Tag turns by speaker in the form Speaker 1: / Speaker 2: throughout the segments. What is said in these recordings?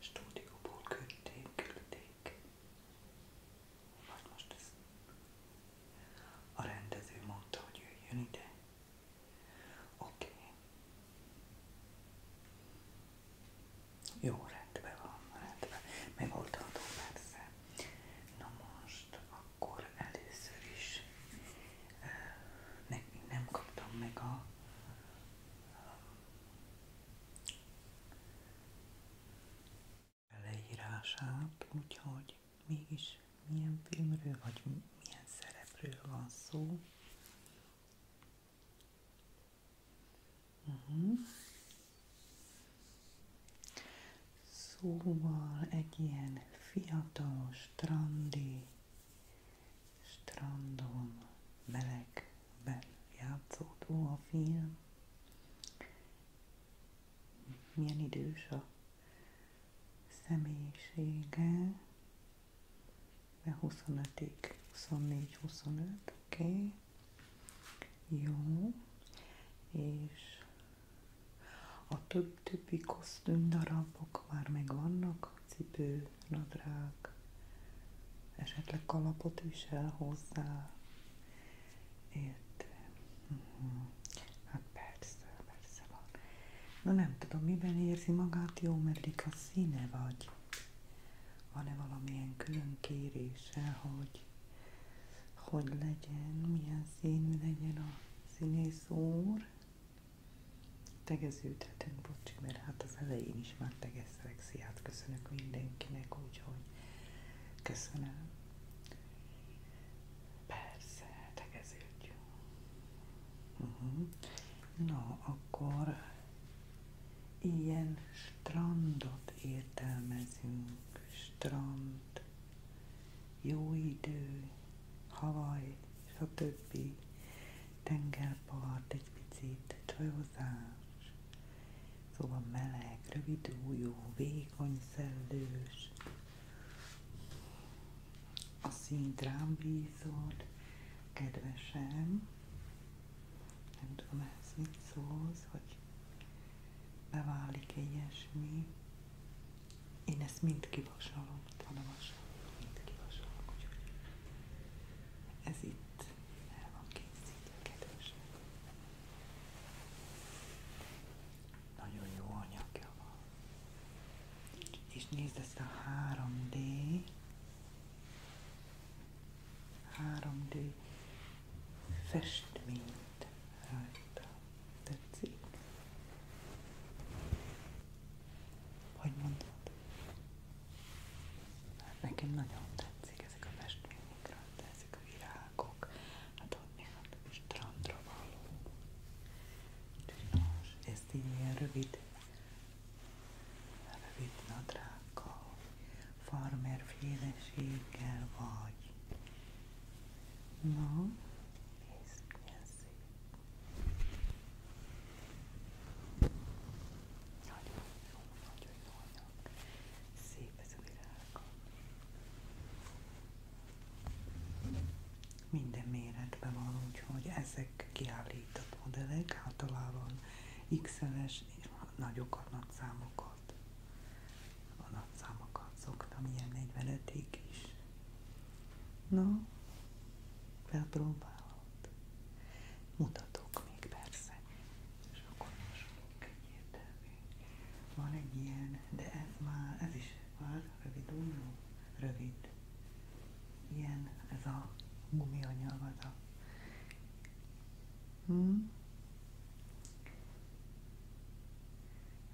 Speaker 1: stúdióból küldték, küldték. Vagy most ez. A rendező mondta, hogy jöjjön ide. Oké. Okay. Jó, rendben van, rendben. Megoldható persze. Na most, akkor először is még eh, nem kaptam meg a leírását, úgyhogy mégis milyen filmről vagy milyen szerepről van szó. Uh-huh. Szóval egy ilyen fiatal strandi strandon, melegben játszódó a film. Milyen idős a személyisége, de 25-ig, 24-25, oké. Okay. Jó. És a több többi kosztümdarabok már megvannak, a cipő, nadrág, esetleg kalapot visel hozzá, értem. Uh-huh. Hát persze, persze van. Na nem tudom, miben érzi magát jó, meddig a színe vagy. Van-e valamilyen külön kérése, hogy hogy legyen, milyen színű legyen a színész úr? tegeződhetünk, bocsi, mert hát az elején is már tegeztek. Sziát köszönök mindenkinek, úgyhogy köszönöm. Persze, tegeződjünk. Uh mhm. -huh. Na, akkor ilyen strandot értelmezünk. Strand, jó idő, havaj, stb tengerpart, egy picit csajozás, szóval meleg, rövid újú, vékony szellős, a szint rám bízod, kedvesem, nem tudom ehhez mit szólsz, hogy beválik -e ilyesmi. Én ezt mind kivasalom, ott van a vasal, mind kivasalom, úgyhogy ez itt el van készítve, kedvesek. Nagyon jó anyagja van. És nézd ezt a 3D 3D festményt rajta. Tetszik? Hogy mondod? Hát nekem nagyon tetszik ezek a festményekről, ezek a virágok, hát ott még a strandra való. Csinos, ezt így ilyen rövid, rövid nadrággal, farmerféleséggel vagy. Na, nézd, milyen szép. Nagyon Minden méretben van, úgyhogy ezek kiállított modellek, általában hát XL-es, nagyokat, nagy számokat. A nagy számokat szoktam, ilyen 45-ig is. Na, no, felpróbálom. Mutatok még persze, és akkor most egyértelmű. Van egy ilyen, de ez már, ez is már rövid Ilyen, ez a gumianyag, az hmm?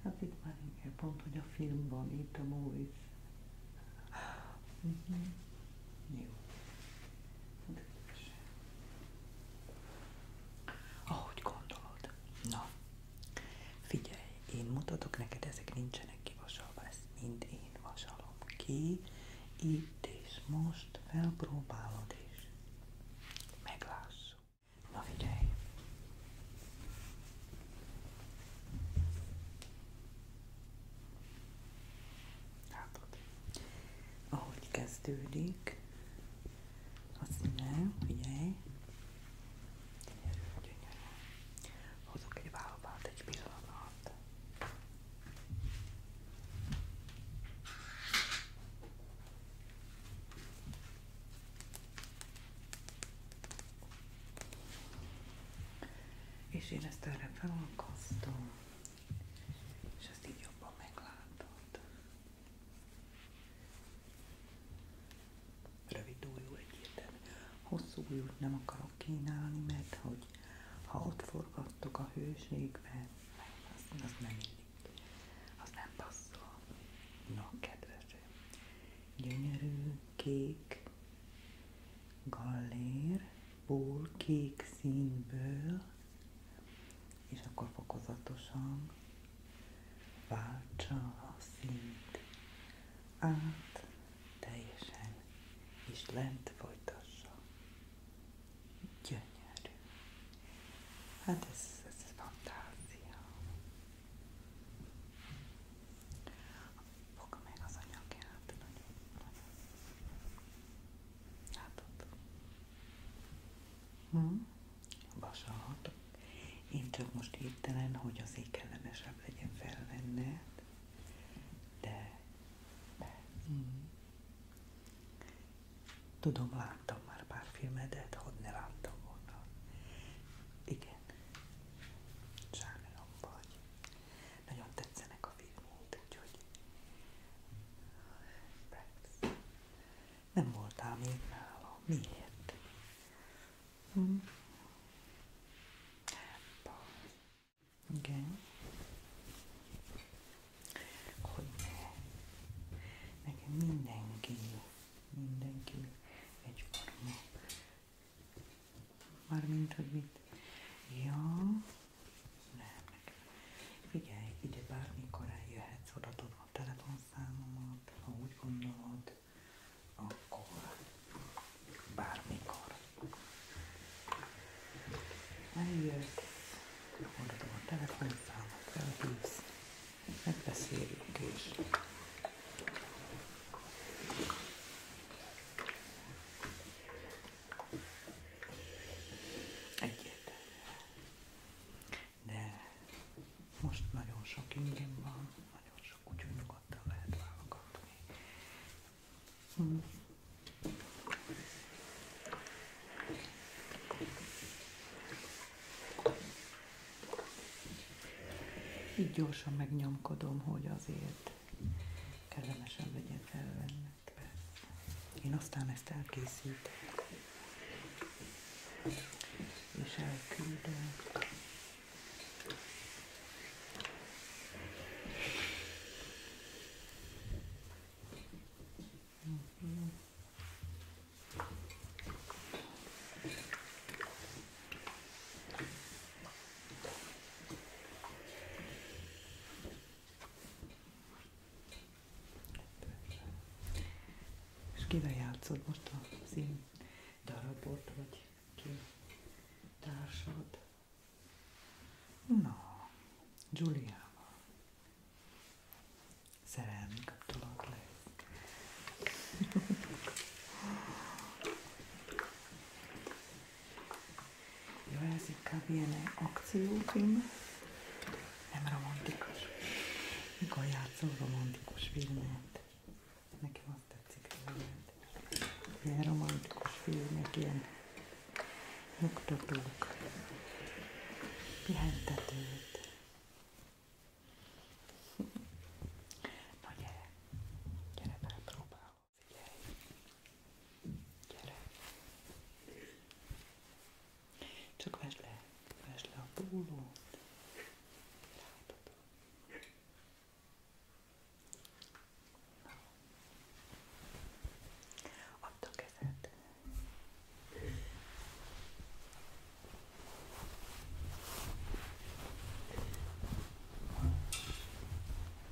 Speaker 1: Hát itt már inkább pont, hogy a filmban, itt a movies Uh-huh. Jó. Ahogy gondolod. Na, figyelj, én mutatok neked, ezek nincsenek kivasalva, ezt mind én vasalom ki, itt és most felpróbálod és meglássuk. Na figyelj! Látod? kezdődik azt színe, figyelj, gyönyörű, gyönyörű. Hozok egy vállalbát egy pillanat és én ezt erre felakasztom, és ezt így jobban meglátod. Rövid újú egyértelmű. Hosszú újút nem akarok kínálni, mert hogy ha ott forgattok a hőségben, az, az nem illik. Az nem passzol. Na, no, kedvesem, gyönyörű, kék gallérból, kék színből, és akkor fokozatosan váltsa a színt át teljesen, és lent folytassa. Gyönyörű. Hát ez, ez fantázia. Foga meg az anyagját, nagyon, Hm? Vasat. Én csak most hirtelen, hogy azért kellemesebb legyen felvenned, de hm. tudom, láttam már pár filmedet, hogy ne láttam volna. Igen. Sámilom vagy nagyon tetszenek a filmok, úgyhogy nem voltál még nála. Miért? Hm. Igen. Hogy ne. Nekem mindenki, mindenki egyforma Mármint, hogy mit? Ja, nem. ide bármikor eljöhetsz, odatod a telefonszámomat, ha úgy gondolod, akkor bármikor. Eljössz, odatod a telefonszámot, elhívsz, megbeszéljük és Egyértelműen. De most nagyon sok ingem van, nagyon sok, úgyhogy nyugodtan lehet válogatni. Így gyorsan megnyomkodom, hogy azért kellemesen legyen felvennek. Én aztán ezt elkészítem, és elküldöm. Mhm. És kivel játszod most a szín darabot, vagy ki társad? Na, Giuliával. Szerelmi kapcsolat lesz. Jó, ez inkább ilyen akciófilm, nem romantikus. Mikor játszol romantikus filmet, nekem azt tetszik filmet. Ilyen romantikus filmek, ilyen nyugtatók, pihentetőt. Na gyere, próbál. Figyelj! Gyere! Csak vesd le, vesd le a pólót. Látod. Add a kezed.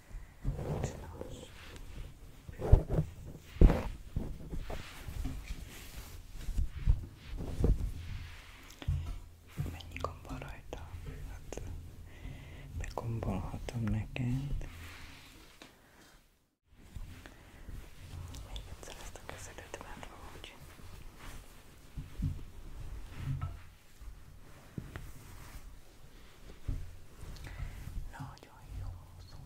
Speaker 1: nos. Mennyi gomb van rajta? Hát begombolhatom neked. Még egyszer ezt a közelőt már úgy. Nagyon jó szó szóval.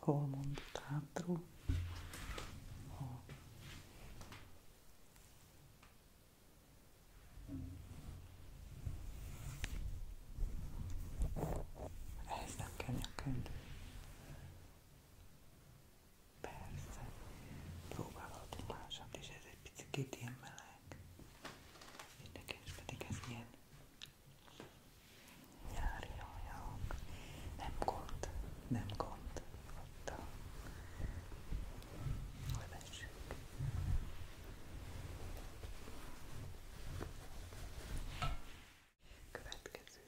Speaker 1: Hol mondott hátul? Hol? Ehhez Persze. Próbálhatunk másat is, ez egy picit ilyen meleg nyári hajak, nem gond, nem gond, ott a levessük. Következő.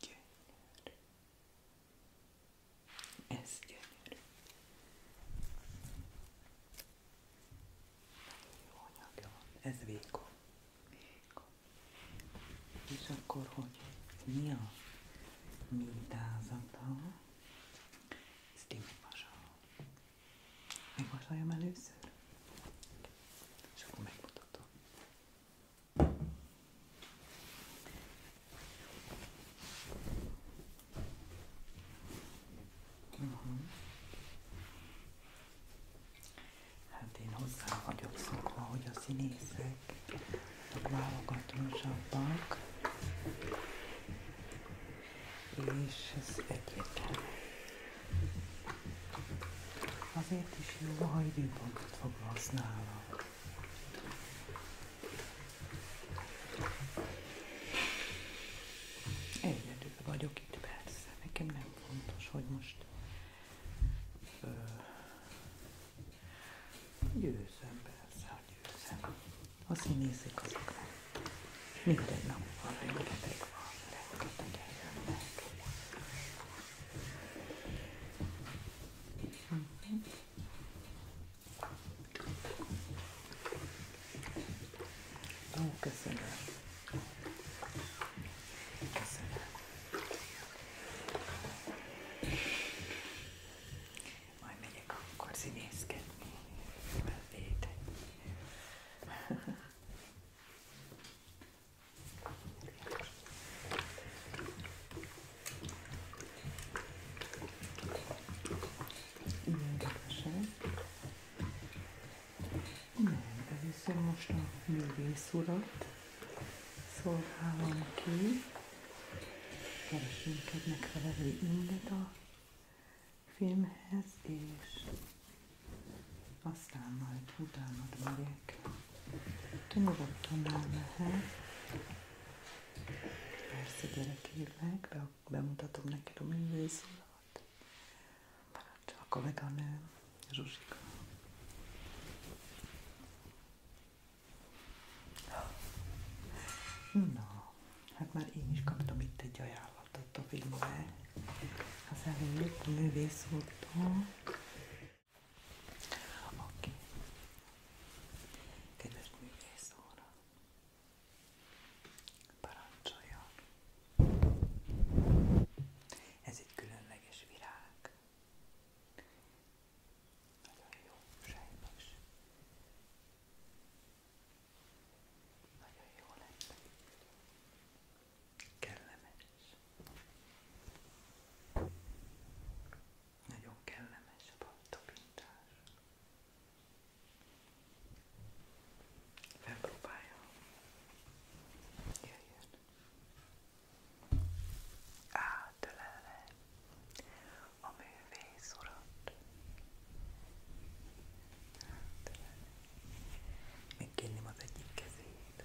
Speaker 1: Gyönyör. Ez gyönyörű. Nagyon jó anyagja van. Ez vékony. vékony. És akkor, hogy mi a mintázata? Ezt én megvasalom. Megvasaljam először? És akkor megmutatom. Hát én hozzá vagyok szokva, hogy a és ez egyértelmű. Azért is jó, ha időpontot fog használnak. Egyedül vagyok itt, persze. Nekem nem fontos, hogy most ö, győzöm, persze, hogy győzöm. Azt, hogy azok nem. Minden nap van, rengeteg van, rengeteg Ó, köszönöm. Köszönöm. Majd megyek akkor színészkedni. Ilyen kevesen. Nem, először most a művész urat szolgálom ki. Keresünk egy megfelelő inget a filmhez, és aztán majd utána megyek. Nyugodtan el lehet. Persze, gyere kérlek, be, bemutatom neked a művészulat. Parancsolj, a kolléganő, Zsuzsika. Na, hát már én is kaptam itt egy ajánlatot a filmbe. Az előtt a művész Oké. Okay. Kedves művész óra. Parancsoljon. Ez egy különleges virág. Nagyon jó, sejmes. Nagyon jó lett. Kellemes. Nagyon kellemes a paltopintás. Felpróbáljam. Jöjjön. Átölelve a művész urat. Megkérném az egyik kezét.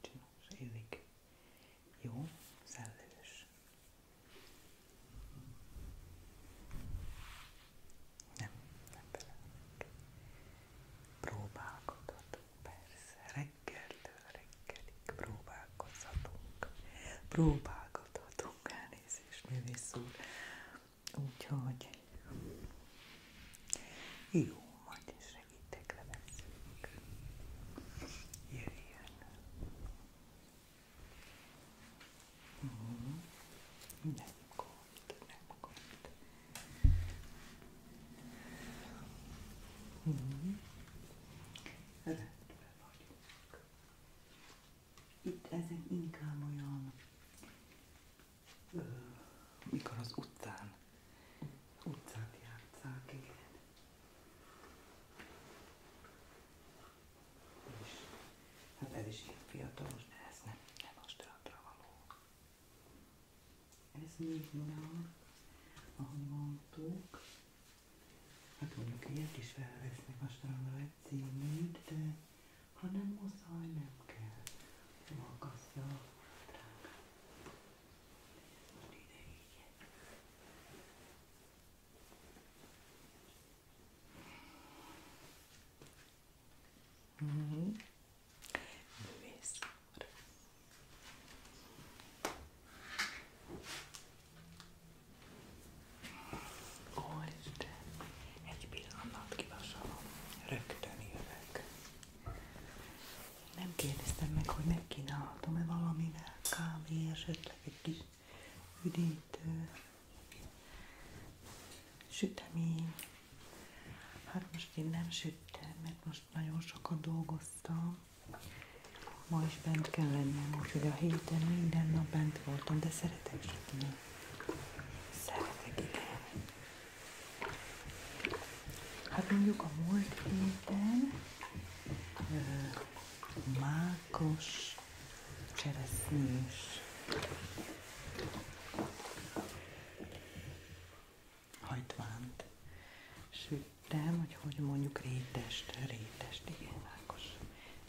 Speaker 1: Csinos, ízik. Jó, szellős. Nem, nem belenek. Próbálkozhatunk, persze. Reggeltől reggelig próbálkozhatunk. Próbálkozhatunk, elnézést, művész úr. Úgyhogy jó, majd is segítek, leveszünk. Jöjjön. Hmm. Nem gond, nem gond. Hmm. Rendben vagyunk. Itt ezen inkább olyan mikor az utcán, utcán játszák, igen. És hát ez is ilyen fiatalos, de ez nem, nem a strandra való. Ez még nyár, ahogy mondtuk. Hát mondjuk ilyet is felvesznek a strandra egy címét, de ha nem muszáj, nem kell. Magasztja. Mm-hmm. Művész úr. Ó, Isten, egy pillanat kivasalom, rögtön jövök. Nem kérdeztem meg, hogy megkínálhatom-e valamivel kávé, esetleg egy kis üdítő, sütemény. Hát most én nem süttem, mert most nagyon sokat dolgoztam. Ma is bent kell lennem, úgyhogy a héten minden nap bent voltam, de szeretek sütni. Szeretek, igen. Hát mondjuk a múlt héten mákos cseresznyés hajtvánt süttem, hogy hogy mondjuk rétest, rétest, igen, mákos,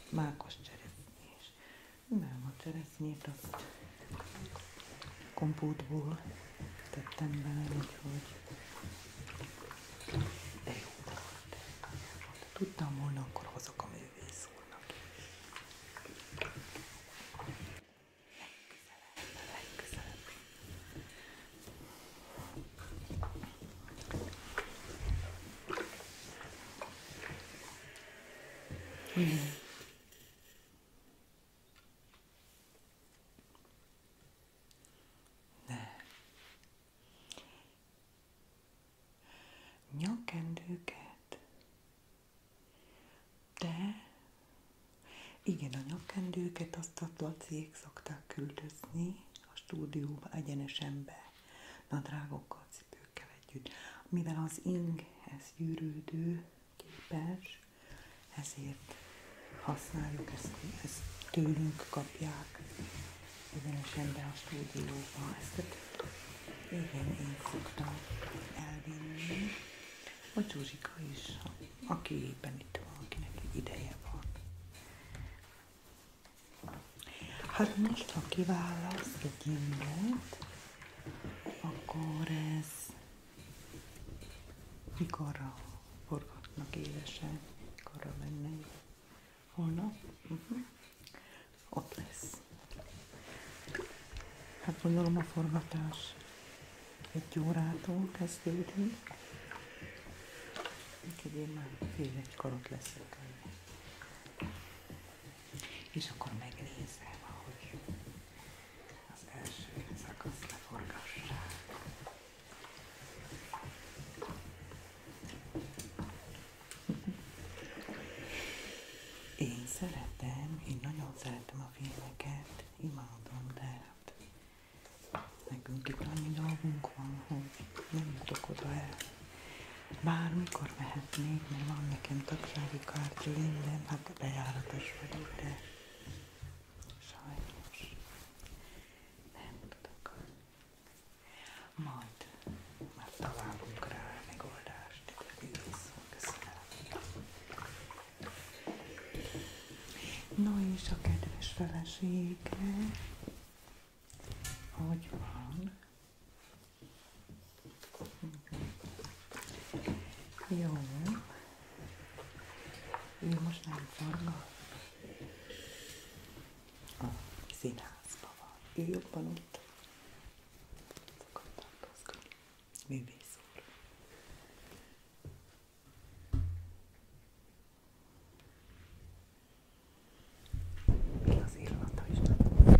Speaker 1: mákos cseresznyés. Nem, a cseresznyét azt kompótból tettem bele, úgyhogy de jó volt. Ha tudtam volna, akkor hozok a művész úrnak is. Legközelebb, legközelebb. Mm. Nyakendőket, De igen, a nyakendőket azt a laciék szokták küldözni a stúdióba egyenesen be, nadrágokkal, cipőkkel együtt. Mivel az ing, ez gyűrődő, képes, ezért használjuk, ezt, ezt tőlünk kapják, bizonyosan be a stúdióba. Ezt igen, én szoktam elvinni. A Zsuzsika is, aki éppen itt van, akinek ideje van. Hát most, ha kiválaszt egy immót, akkor ez a forgatnak élesen, mikorra mennek. Holnap? Uh-huh. Ott lesz. Hát gondolom a forgatás egy órától kezdődik. Úgyhogy én már fél egy karot leszek. És akkor megnézem, ahogy az első szakaszt leforgassák. Én szeretem, én nagyon szeretem a filmeket, imádom, de hát nekünk itt annyi dolgunk van, hogy nem jutok oda el. Bármikor mehetnék, mert van nekem tagsági kártya minden, hát hát bejáratos vagyok, de sajnos nem tudok. Majd már találunk rá a megoldást, No és a kedves felesége, hogy van? Jó. Ő most nem forgat. A színházban van. Ő jobban ott. Szokott tartozkodni. Művész úr. Az illata is nagyon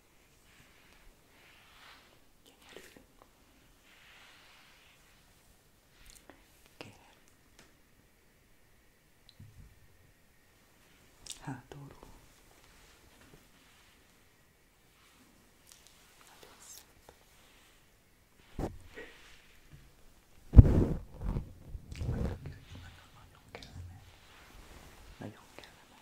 Speaker 1: Gyönyörű. Kér. Hátulról. Nagyon szép. Nagyon, nagyon, nagyon kellemes. Nagyon kellemes.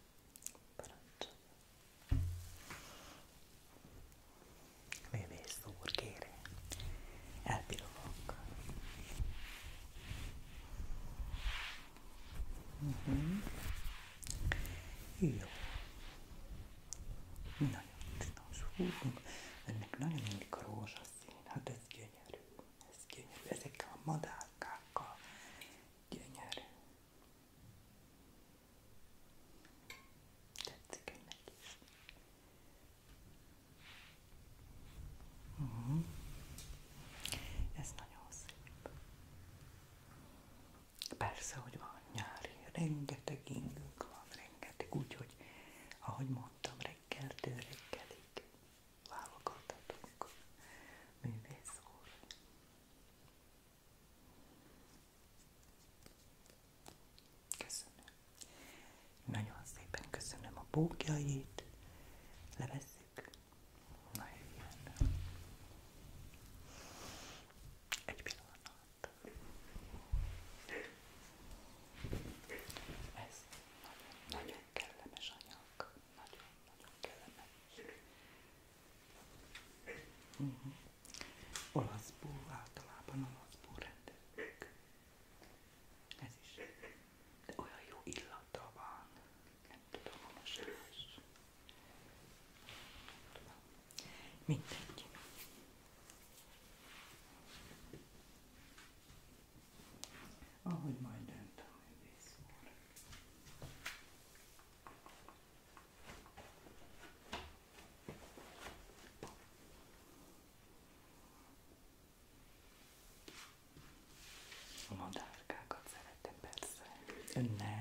Speaker 1: Parancsolj. Művész úr, kérem. Mhm. Jó. Nagyon csinos húgunk. Ennek nagyon mindig a rózsaszín. Hát ez gyönyörű ez gyönyörű, ezekkel a madárkákkal gyönyörű. Tetszik önnek is. Uh-huh. Ez nagyon szép. Persze, hogy van nyári, rengeteg ingünk van, rengeteg, úgyhogy ahogy mondtam, reggeltől reggelig nagyon szépen köszönöm a bókjait. Levesszük. Na, jön. Egy pillanat. Ez nagyon, nagyon kellemes anyag nagyon-nagyon kellemes. Uh -huh. Hm. Olaszból, általában olaszból rendelünk. Ez is. De olyan jó illata van. Nem tudom, a mosás. Mindegy ahogy majd dönt a művész úr. A madárkákat szeretem persze. Ön nem.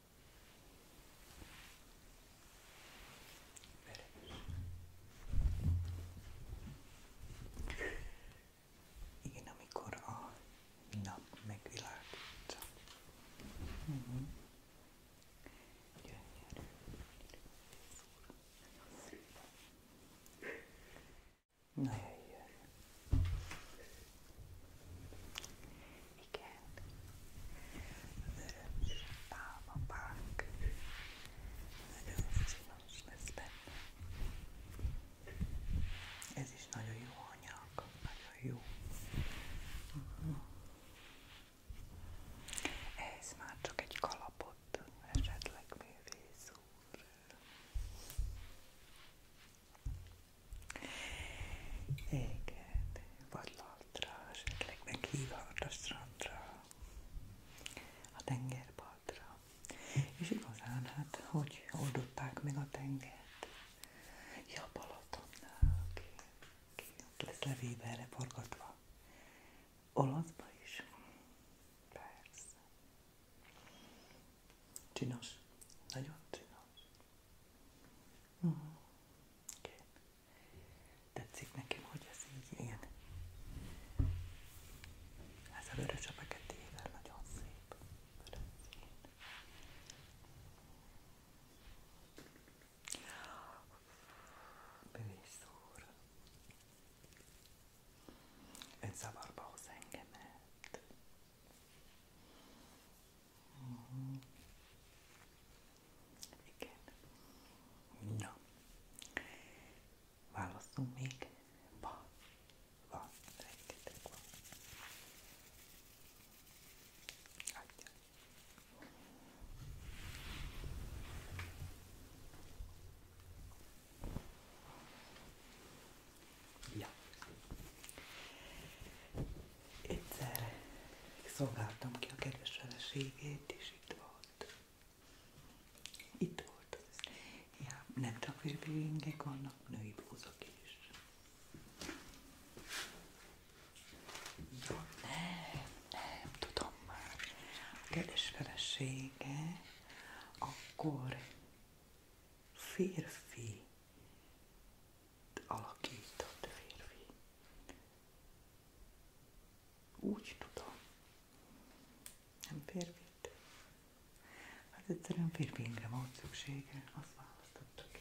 Speaker 1: Igen, amikor a nap megvilágít. Mm-hmm. Na jöjjön. Igen. Vörös pálmapák. Nagyon színos lesz benne. Ez is nagyon jó anyag. Nagyon jó. Uh -huh. Ez már csak egy kalapot, esetleg művész úr. Igen, vadlaltra, esetleg meghívhat a strandra, a tengerpartra. És igazán, hát, hogy oldották meg a tengert? Ja, Balatonnál, ki, ki ott lesz levévelre forgatva. Olaszba is? Persze. Csinos. Nagyon csinos. Mm. Okay. Tetszik nekem, hogy ez így ilyen. Ez a vörös a feketével nagyon szép. Bőszúr. Ön zavarba hoz engemet. Uh-huh. Igen. Na. Válaszunk még. Van. Van. Rengeteg van. Adjál. Ja egyszerre szolgáltam ki a kedves feleségét, és itt volt. Itt volt az. Ja, nem csak frisbingek vannak, női blúzok is. Ja, nem, nem tudom már. A kedves felesége akkor férfi alakított férfi. Úgy tudom. Nem férfit? Hát egyszerűen férfiinkre volt szüksége, azt választottuk ki.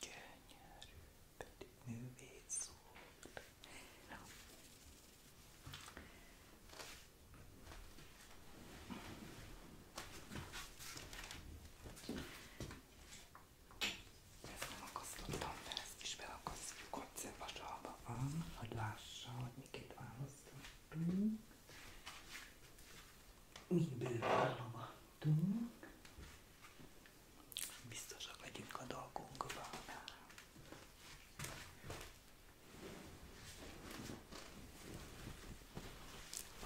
Speaker 1: Gyönyörű. But move it sword. No. Ezt nem akasztottam fel, ezt is belakasztjuk, hogy szilvasalba van, hogy lássa, hogy miket választottunk. Miből válogattunk. Biztosak legyünk a dolgunkban.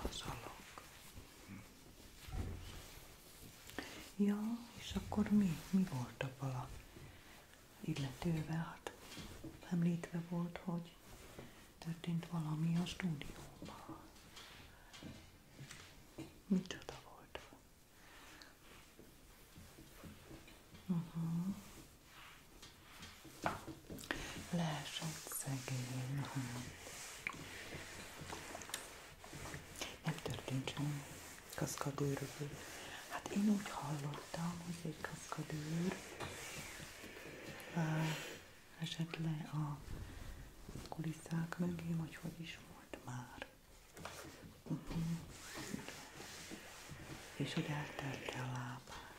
Speaker 1: Vazalok. Ja, és akkor mi? Mi volt abban a illetővel? Hát említve volt, hogy történt valami a stúdióban. Micsoda volt? uh szegény. Nem történt semmi kaszkadőrökből. Hát én úgy hallottam, hogy egy kaszkadőr esett le a kulisszák mögé, vagy hogy is volt már. Uh -huh. És hogy eltelte a lábát.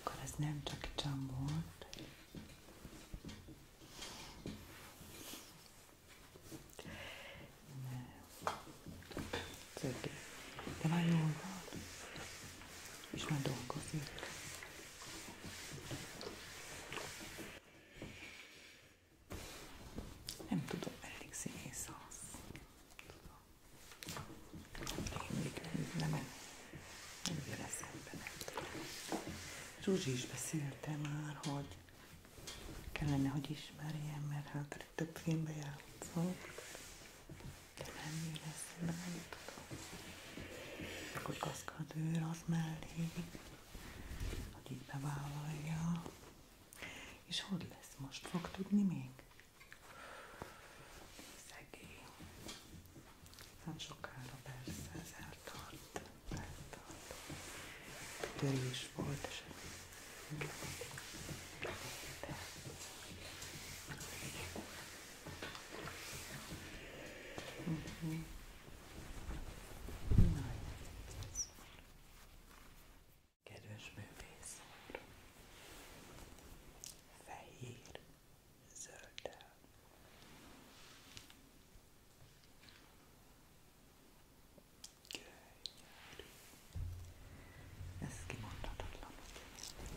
Speaker 1: Akkor ez nem csak csam volt. Nem. Szögi. De már jól van. És már dolgozik. Nem tudom, elég színész az. Rémlik, nem, nem, nem jön eszembe, nem tudom. Zsuzsi is beszélte már, hogy kellene, hogy ismerjem, mert hát több filmbe játszok. De nem jön eszembe, nem tudom. Akkor kaszkadőr az mellé hogy így bevállalja. És hogy lesz most? Fog tudni még? Szegény. Nem sokára persze ez eltart. eltart. Törés volt, és hmm Kedves művész úr, fehér zölddel. Könyör. Ez kimondhatatlan, ugye?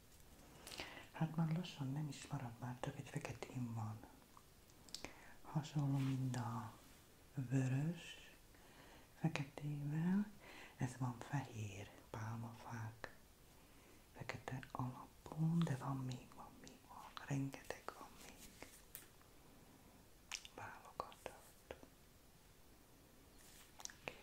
Speaker 1: Hát már lassan nem is marad már, csak egy feketén van. Hasonló, mint a vörös feketével. Ez van fehér pálmafák fekete alapon, de van még, van még, van. Rengeteg van még. Válogatott. Okay.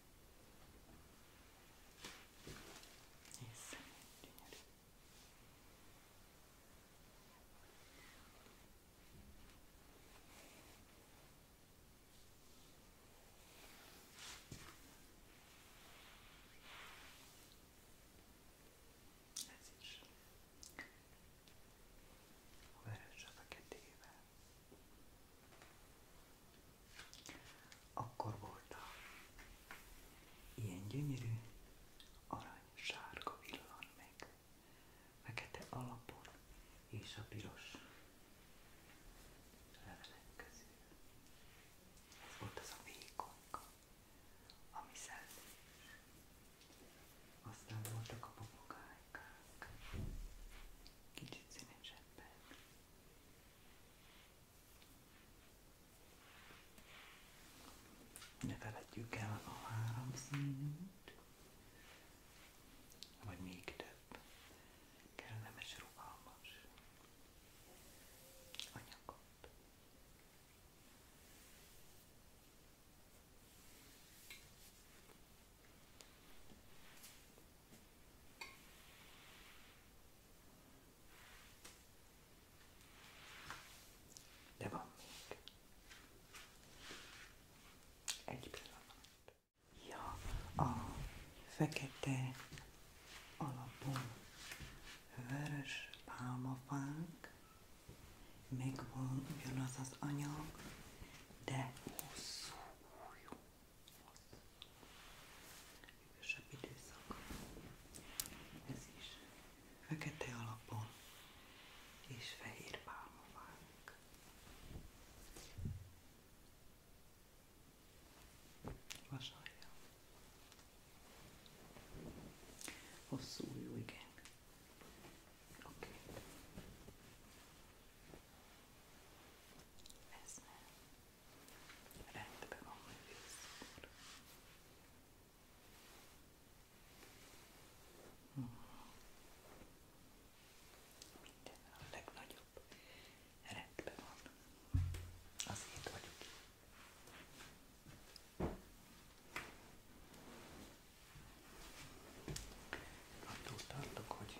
Speaker 1: Hiszem, gyönyörű. Ez is a vörös a feketével. Akkor volt a ilyen gyönyörű arany sárga villan meg, fekete alapon és a piros volt az a vékonka, ami szellős. Aztán voltak a papagájkák, kicsit színesebbek. Ne feledjük el a három színűt, vagy még több kellemes, rugalmas anyagot. De van Egy pillanat. Ja, a fekete alapú vörös pálmafánk, meg van ugyanaz az anyag, de hosszú hűvösebb időszak. Ez is fekete alapon és fehér pálmavák. Vasalja. Hosszú jó, igen. Oké. Okay. Ez nem. Rendben van, hogy visszúr. Minden a legnagyobb. Rendben van. Azért vagyok itt. Attól tartok, hogy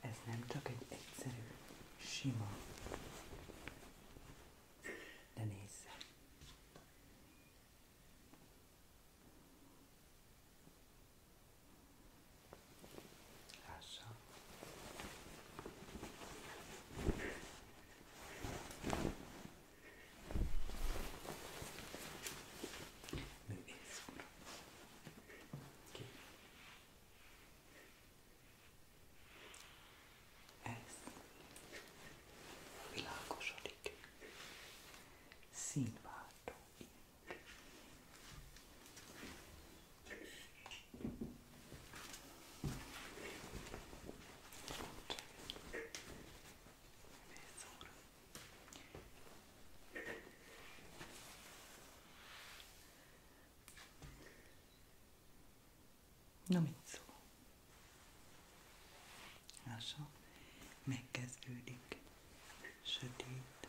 Speaker 1: Ez nem csak egy egyszerű, sima, de nézze. Lássa. Művész úr. Ki? Ez világosodik. Színváltó Na mit szól? Lássa, megkezdődik sötét,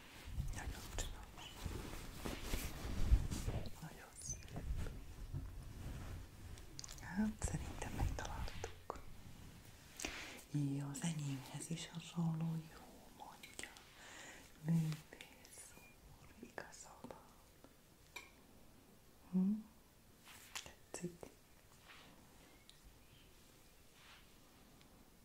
Speaker 1: Nagyon csinos. Nagyon szép. Hát szerintem megtaláltuk. Jó, az enyémhez is hasonló, jó mondja. Művész úr, igazad hm? Tetszik.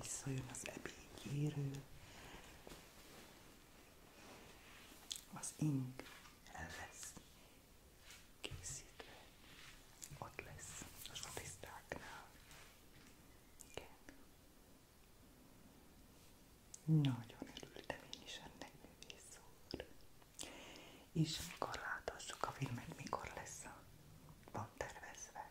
Speaker 1: visszajön az ebédjéről, az ing el lesz készítve, ott lesz a statisztáknál. Igen. Nagyon örültem én is ennek művészóra. És mikor láthassuk a filmet, mikor lesz a van tervezve?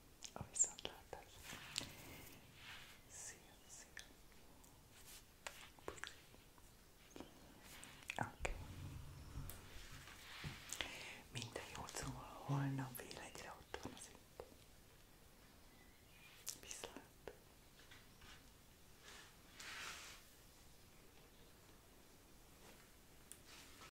Speaker 1: a viszontlátás. Szia, szia. Okay. Minden jót, szóval holnap fél egyre ott van az itt. Viszlát.